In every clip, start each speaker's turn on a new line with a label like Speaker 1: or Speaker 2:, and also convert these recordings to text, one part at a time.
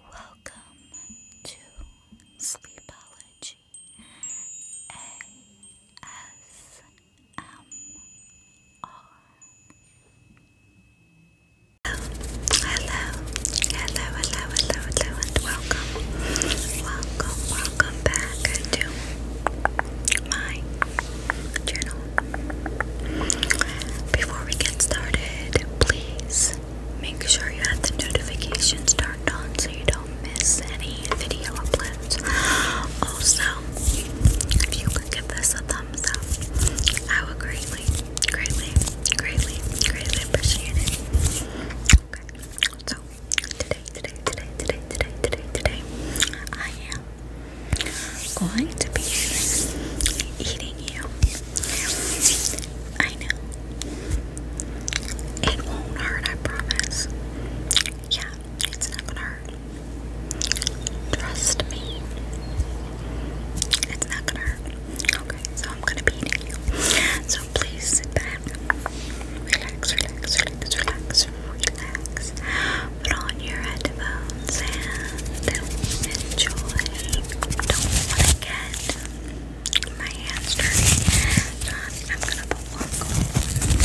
Speaker 1: Welcome to Sleepology ASMR. Hello, hello, hello, hello, hello, hello, welcome, welcome, welcome back to my channel. Before we get started, please make sure you have the notifications turned on so you don't miss any video uploads. Also, if you could give this a thumbs up, I would greatly, greatly, greatly, greatly appreciate it. Okay, so today, today, today, today, today, today, today, I am going to be eating you. I know. It won't hurt, I promise. Yeah, it's not gonna hurt.
Speaker 2: Trust me. It's not gonna hurt. Okay, so I'm gonna be eating you. So please sit back. Relax, relax, relax, relax, relax your headphones and enjoy. Don't want to get my hands dirty, so
Speaker 3: I'm gonna put one glove on if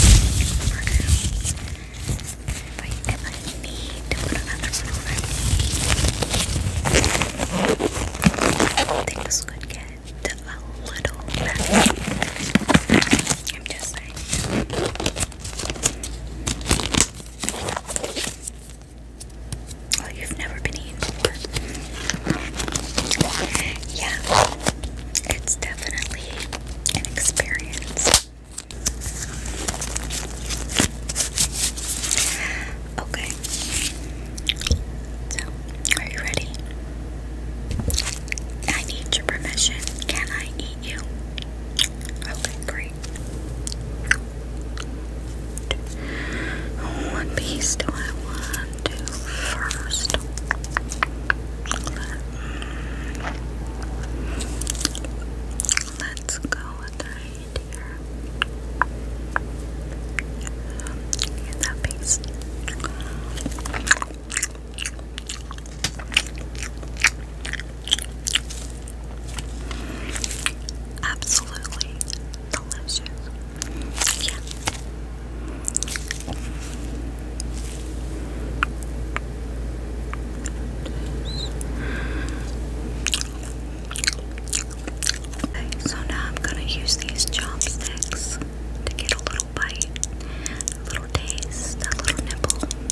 Speaker 3: I, need to put another one on, things could get a little messy. I'm just saying. Oh, you've never been eaten before. Yeah, it's definitely an experience. Okay. So, are you ready? I need your permission. Can I eat? meet you. Okay, great. What oh, piece do I want to first? Let's go with the right here. Get that piece. Absolutely delicious. Yeah. so now I'm gonna use these chopsticks to get a little bite, a little taste, a little nibble.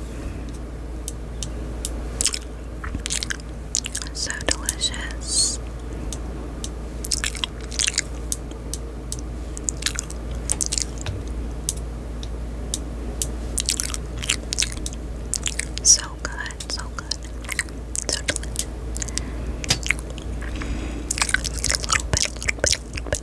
Speaker 3: So delicious. So good, so good. So delicious. A little bit, a little bit,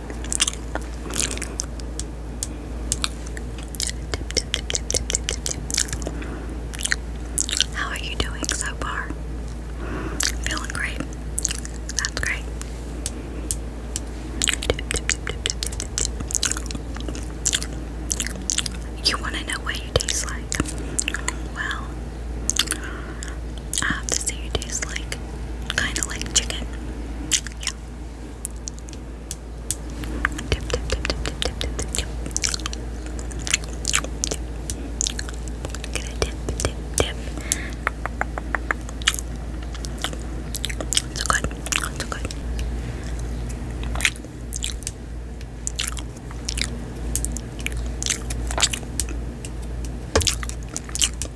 Speaker 3: How are you doing so far? Feeling great. That's great. You want to know what you taste like? Well, I have to say it tastes like kind of like chicken. Yeah. Dip, dip, dip, dip, dip, dip, dip, dip, dip. Get a dip, dip, dip. good. It's good. That's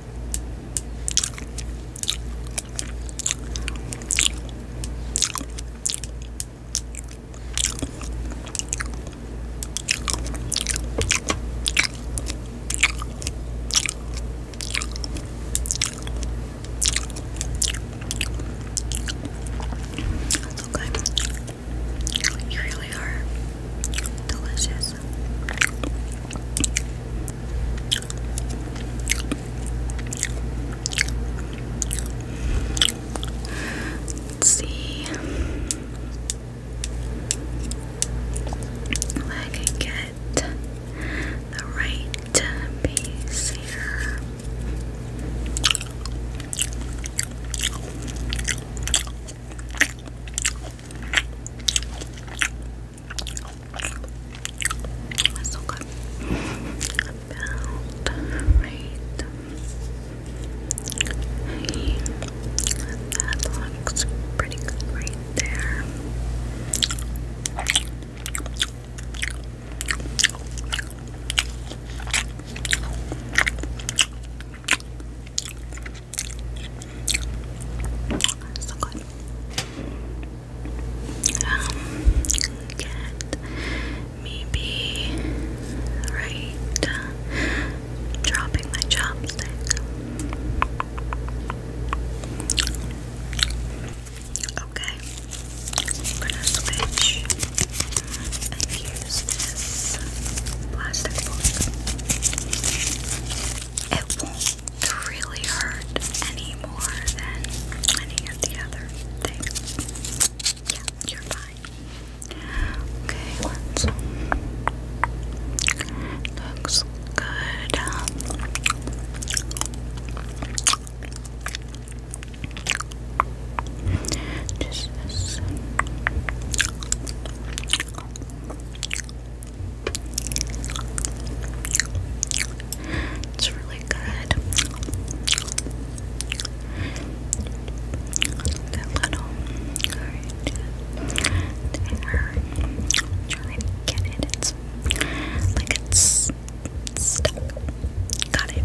Speaker 1: okay. You really are delicious. Let's see if I get the right piece here so good. right hey, That looks pretty good right there. So good. Um, maybe right dropping my chopstick. Okay, we're gonna switch and use this plastic It won't really hurt any more than any of the other things. Yeah, you're fine. Okay, Looks good. Just this. It's really good. That little there. Trying to get it. It's like it's stuck. Got it.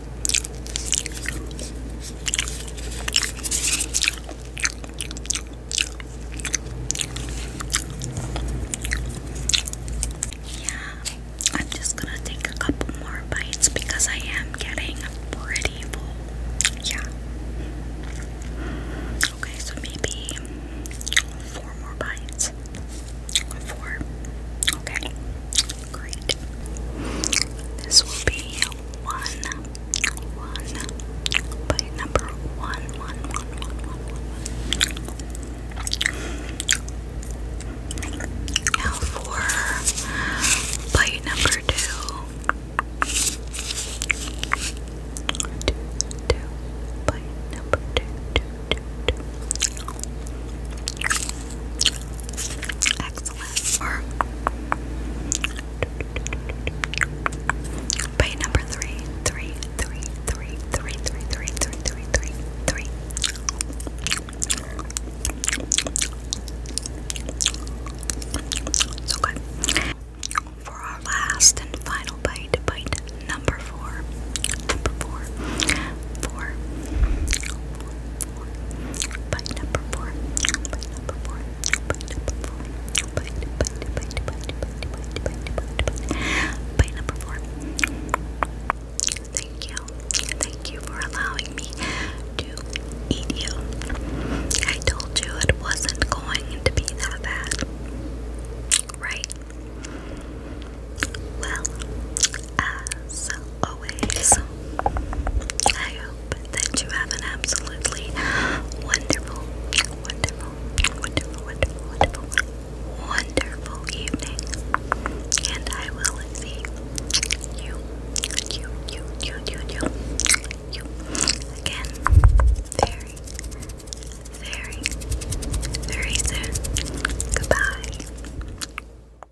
Speaker 1: Yeah, I'm just gonna take a couple more bites because I am getting pretty full. Yeah. Okay, so maybe four more bites. Four. Okay. Great. This will be one, one, bite number one, one, one, one, one, one, one. Now for bite number two. bite number two, two, two, two. Excellent or by number three, three, three, three, three, three, three, three, three, three, three. So good. For our last and final bite, bite number four, number four, four, four, bite number four, bite number four, bite number four, bite, bite, bite, bite, bite, bite, bite, bite, bite, bite number four. Thank you, thank you for allowing me to eat you. I told you it wasn't going to be that bad, right? Well, as always. I hope that you have an absolutely wonderful, wonderful, wonderful, wonderful, wonderful, evening. And I will see you, you, you, you, you, you, you again very, very, very soon. Goodbye.